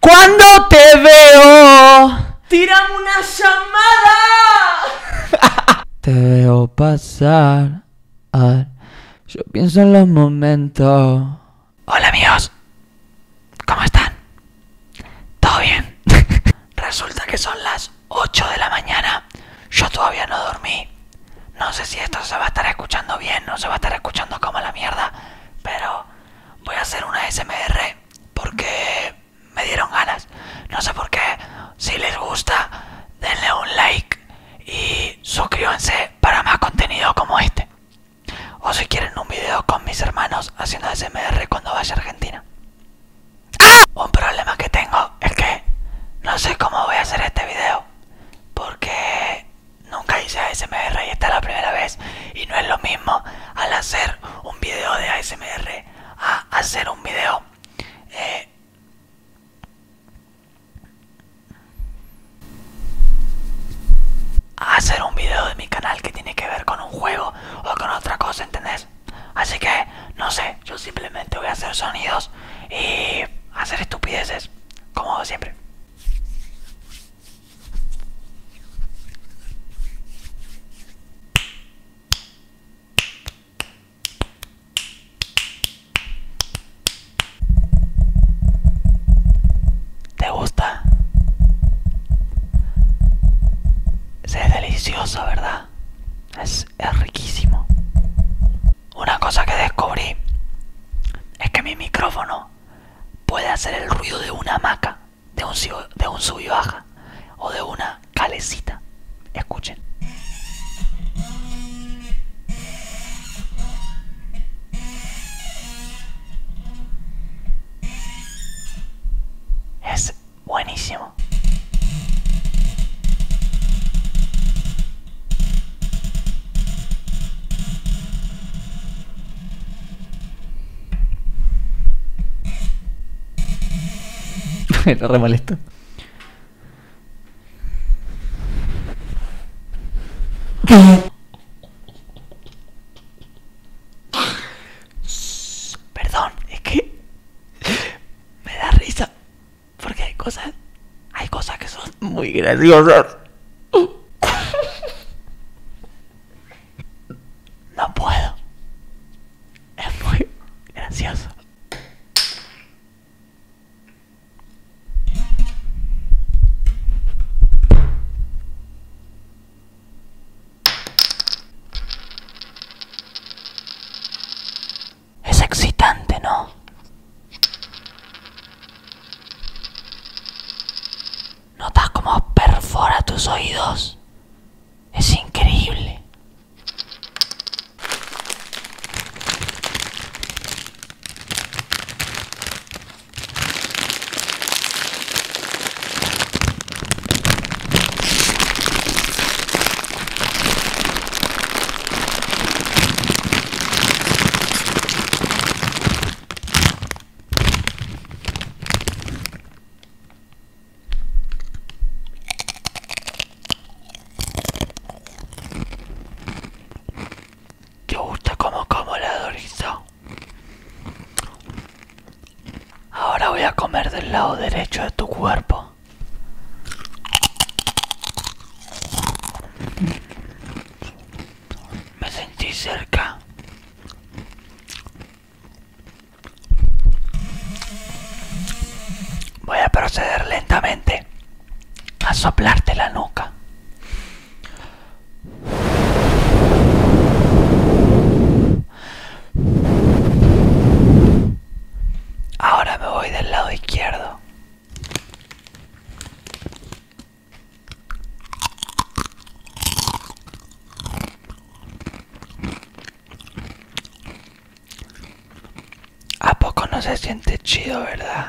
Cuando te veo, tírame una llamada. te veo pasar. yo pienso en los momentos. Hola amigos, ¿cómo están? ¿Todo bien? Resulta que son las 8 de la mañana. Yo todavía no dormí. No sé si esto se va a estar escuchando bien, no se va a estar escuchando como la mierda, pero voy a hacer una SMR porque me dieron ganas. No sé por qué. Si les gusta, denle un like y suscríbanse para más contenido como este. O si quieren un video con mis hermanos haciendo SMR cuando vaya a Argentina. Un problema que tengo es que no sé cómo voy a hacer este video porque nunca hice ASMR y esta es la primera vez y no es lo mismo al hacer un video de ASMR a hacer un video eh, a hacer un video de mi canal que tiene que ver con un juego o con otra cosa, ¿entendés? Así que no sé, yo simplemente voy a hacer sonidos y hacer estupideces, como siempre. ¿Te gusta? Es delicioso, ¿verdad? es riquísimo. Una cosa que descubrí es que mi micrófono puede hacer el ruido de una hamaca, de un, de sub baja o de una calecita. Escuchen. Es buenísimo. Me re molesto. Perdón, es que me da risa. Porque hay cosas, hay cosas que son muy graciosas. No puedo. Es muy gracioso. Es excitante, ¿no? ¿Notas cómo perfora tus oídos? Es increíble. ¿Te gusta como como la dorizo Ahora voy a comer del lado derecho de tu cuerpo. Me sentí cerca. Voy a proceder lentamente a soplarte la nuca. Ahora me voy del lado izquierdo. ¿A poco no se siente chido, verdad?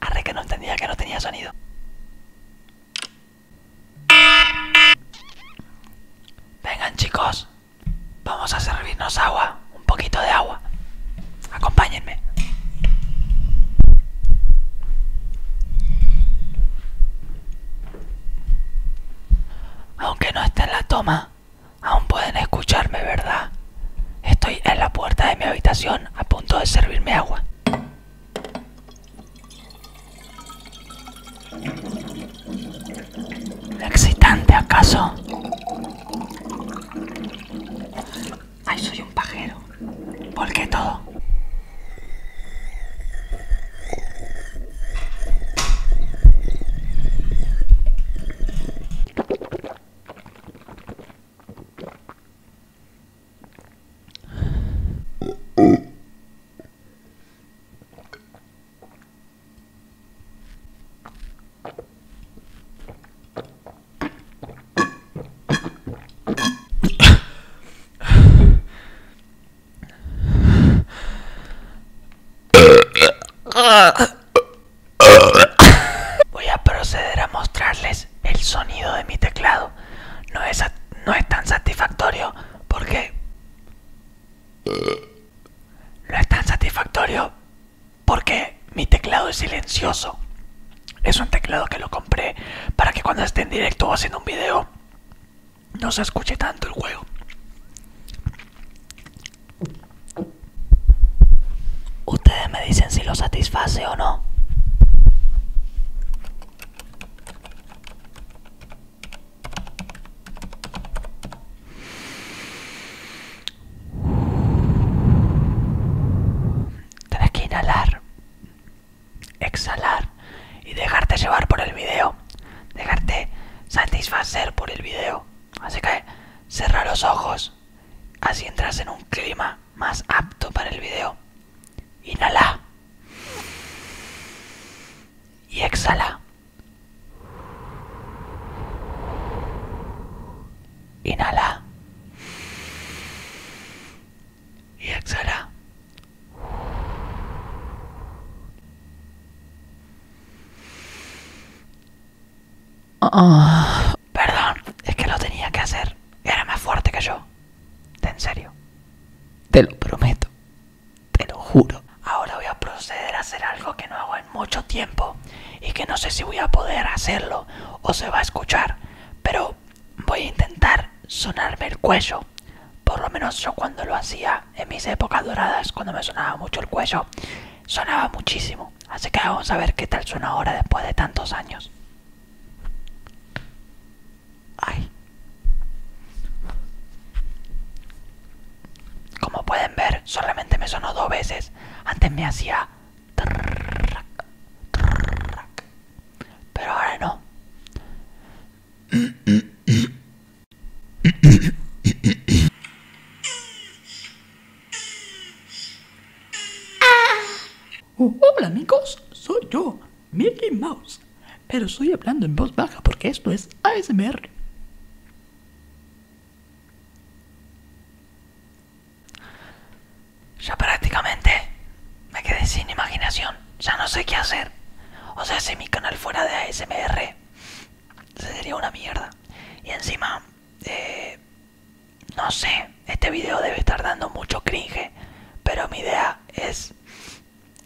Arre que no entendía que no tenía sonido. Vengan chicos, vamos a servirnos agua, un poquito de agua. Acompáñenme. Aunque no esté en la toma, aún pueden escucharme, ¿verdad? Estoy en la puerta de mi habitación a punto de servirme agua. ¿Excitante acaso? Ay, soy un pajero. ¿Por qué todo? Voy a proceder a mostrarles el sonido de mi teclado. No es, tan satisfactorio porque... No es tan satisfactorio porque mi teclado es silencioso. Es un teclado que lo compré para que cuando esté en directo o haciendo un video no se escuche tanto el juego. Ustedes me dicen si lo satisface o no. Tenés que inhalar exhalar y dejarte llevar por el video, dejarte satisfacer por el video. Así que cerrar los ojos, así entras en un clima más apto para el video. Inhala y exhala. Inhala y exhala. Ah. perdón, es que lo tenía que hacer. Era más fuerte que yo. En serio. Te lo prometo. Te lo juro. Ahora voy a proceder a hacer algo que no hago en mucho tiempo y que no sé si voy a poder hacerlo o se va a escuchar. Pero voy a intentar sonarme el cuello. Por lo menos yo cuando lo hacía en mis épocas doradas, cuando me sonaba mucho el cuello, sonaba muchísimo. Así que vamos a ver qué tal suena ahora después de tantos años. Como pueden ver, solamente me sonó dos veces. Antes me hacía pero ahora no. hola amigos, soy yo, Mickey Mouse. Pero estoy hablando en voz baja porque esto es ASMR. Ya prácticamente me quedé sin imaginación. Ya no sé qué hacer. O sea, si mi canal fuera de ASMR, sería una mierda. Y encima, eh, no sé, este video debe estar dando mucho cringe. Pero mi idea es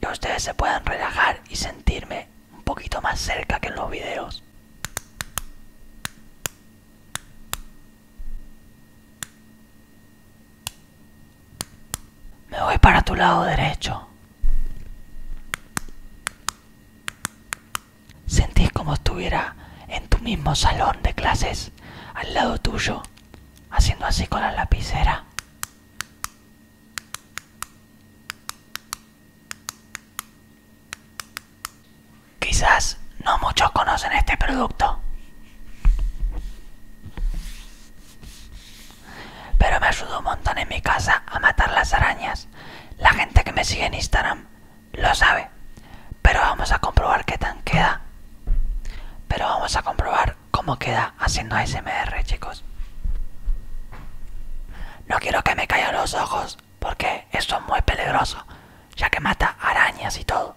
que ustedes se puedan relajar y sentirme un poquito más cerca que en los videos. Me voy para tu lado derecho. Sentís como estuviera en tu mismo salón de clases, al lado tuyo, haciendo así con la lapicera. Quizás no muchos conocen este producto, pero me ayudó un montón en mi casa a matar las arañas. La gente que me sigue en Instagram lo sabe, pero vamos a comprobar qué tan queda. Pero vamos a comprobar cómo queda haciendo ASMR, chicos. No quiero que me caigan los ojos porque esto es muy peligroso, ya que mata arañas y todo.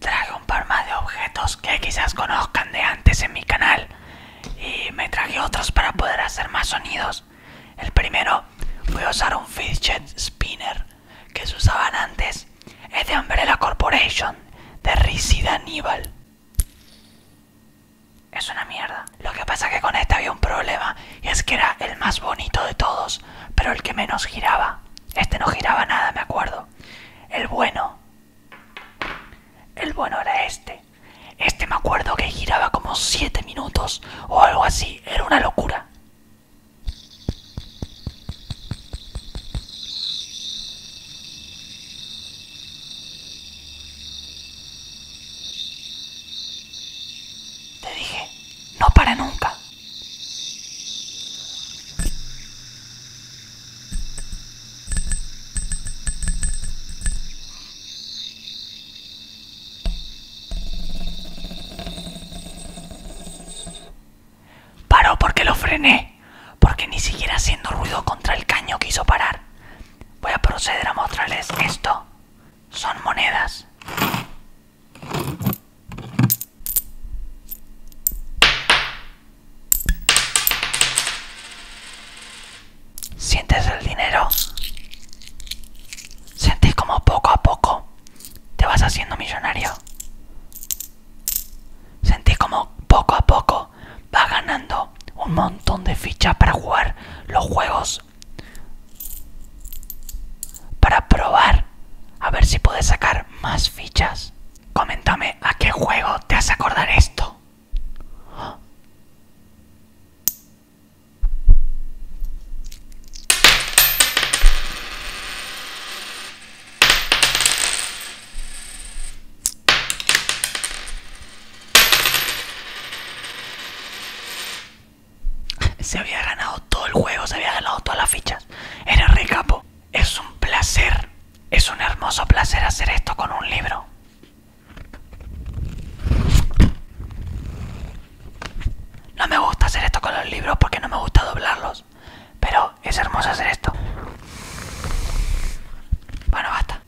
Traje un par más de objetos que quizás conozcan de antes en mi canal y me traje otros para poder hacer más sonidos. El primero fue usar un fidget spinner que se usaban antes. Es de Umbrella Corporation, de Rizzi Aníbal. Es una mierda. Lo que pasa es que con este había un problema y es que era el más bonito de todos, pero el que menos giraba. Este no giraba nada, me acuerdo. El bueno. El bueno era este. Este me acuerdo que giraba como 7 minutos o algo así. Era una locura. Te dije, no para nunca. Paró porque lo frené, porque ni siquiera haciendo ruido contra el caño quiso parar. Voy a proceder a mostrarles esto. Son monedas. ¿Sientes el dinero? ¿Sientes como poco a poco te vas haciendo millonario? ¿Sentís como poco a poco vas ganando un montón de fichas para jugar los juegos? Para probar a ver si puedes sacar más fichas. Coméntame a qué juego te hace acordar esto. Se había ganado todo el juego, se había ganado todas las fichas. Era recapo. Es un placer, es un hermoso placer hacer esto con un libro. No me gusta hacer esto con los libros porque no me gusta doblarlos, pero es hermoso hacer esto. Bueno, basta.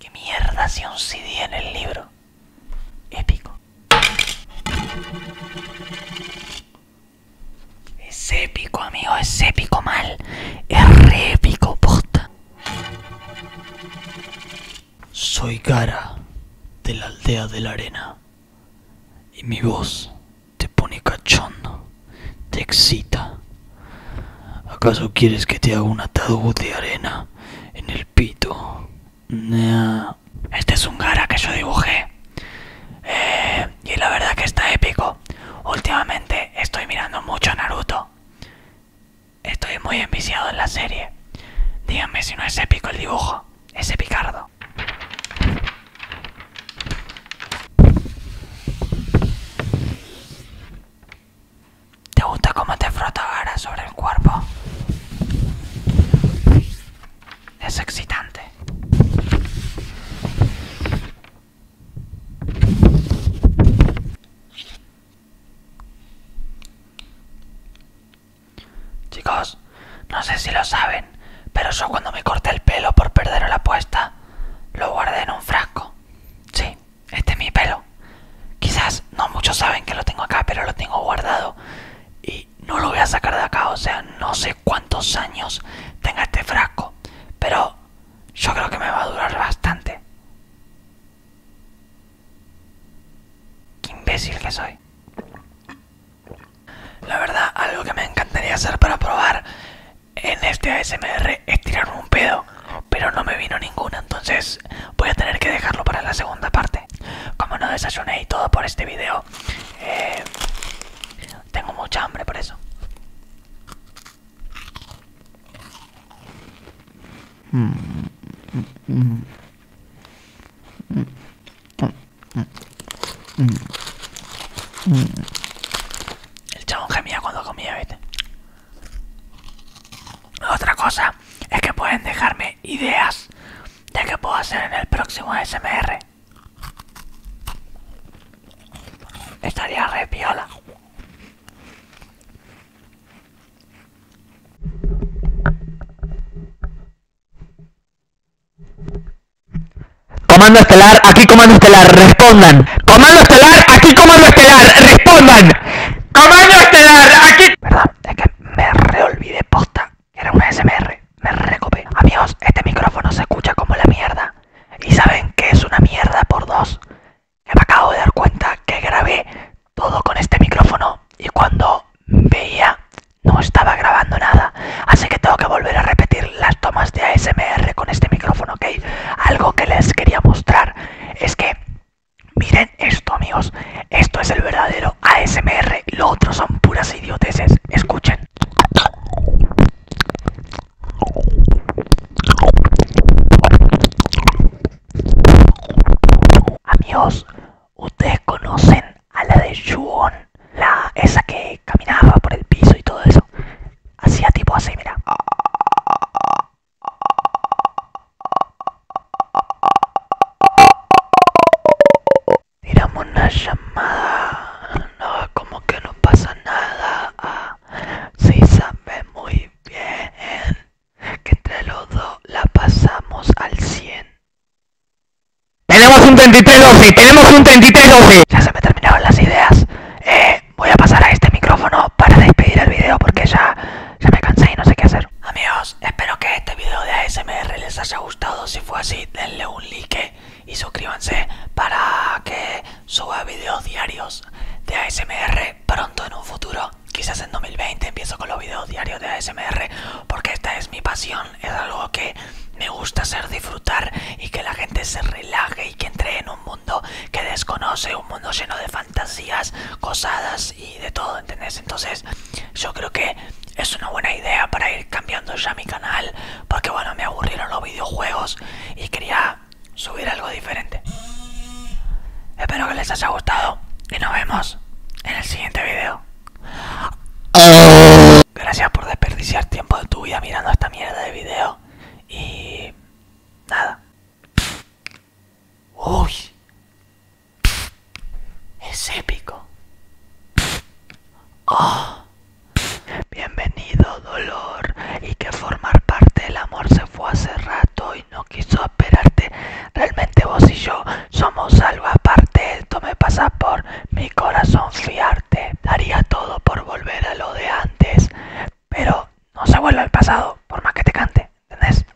¿Qué mierda si un CD en el libro? Épico. Es épico, amigo, es épico mal. Es re épico, Soy cara de la aldea de la arena. Y mi voz te pone cachondo, te excita. ¿Acaso quieres que te haga un ataúd de arena en el pito? Nea este es un Gara que yo dibujé. Eh, y la verdad que está épico. Últimamente estoy mirando mucho a Naruto. Estoy muy enviciado en la serie. Díganme si no es épico el dibujo. Es epicardo. ¿Te gusta cómo te frota Gara sobre el cuerpo? Es excitante. Chicos, no sé si lo saben, pero yo cuando me corté el pelo por perder la apuesta, lo guardé en un frasco. Sí, este es mi pelo. Quizás no muchos saben que lo tengo acá, pero lo tengo guardado y no lo voy a sacar de acá, o sea, no sé cuántos años tenga este frasco, pero yo creo que me va a durar bastante. Qué imbécil que soy. La verdad, algo que me encantaría hacer para probar en este ASMR es tirarme un pedo, pero no me vino ninguna, entonces voy a tener que dejarlo para la segunda parte. Como no desayuné y todo por este video, eh, tengo mucha hambre por eso. El chabón gemía cuando comía, ¿viste? Otra cosa es que pueden dejarme ideas de que puedo hacer en el próximo SMR. Estaría re piola. Comando estelar, aquí comando estelar, respondan. Comando estelar, aquí comando estelar, respondan. Comando estelar, aquí es que me reolvidé posta. Era un ASMR, me recopé. Amigos, este micrófono se escucha como la mierda. Y saben que es una mierda por dos. me acabo de dar cuenta que grabé todo con este micrófono y cuando veía no estaba grabando nada. Así que tengo que volver a repetir las tomas de ASMR con este micrófono, ¿ok? Algo que les quería mostrar es que Miren esto amigos, esto es el verdadero ASMR, lo otros son puras idioteces, escuchen. Amigos, ustedes conocen a la de Yuon, la esa que caminaba por el piso y todo eso. Hacía tipo así, mira. Tiramos una llamada. No, como que no pasa nada. Ah, si sabe muy bien que entre los dos la pasamos al 100. Tenemos un 3312, tenemos un 3312. Ya se me terminaron las ideas. Eh, voy a pasar a este micrófono para despedir el video porque ya ya me cansé y no sé qué hacer. Amigos, espero que este video de ASMR les haya gustado. Si fue así, denle un like y suscríbanse para que suba videos diarios de ASMR pronto en un futuro. Quizás en 2020 empiezo con los videos diarios de ASMR porque esta es mi pasión. Es algo que me gusta hacer disfrutar y que la gente se relaje y que entre en un mundo que desconoce, un mundo lleno de fantasía fantasías, cosadas y de todo, ¿entendés? Entonces yo creo que es una buena idea para ir cambiando ya mi canal, porque bueno, me aburrieron los videojuegos y quería subir algo diferente. Espero que les haya gustado y nos vemos en el siguiente video. Gracias por desperdiciar tiempo de tu vida mirando esta mierda de video y nada. Uy, es épico. Ah. Bienvenido dolor y que formar parte del amor se fue hace rato y no quiso esperarte. Realmente vos y yo somos algo aparte. Esto me pasa por mi corazón fiarte. Daría todo por volver a lo de antes, pero no se vuelve al pasado por más que te cante, ¿entendés?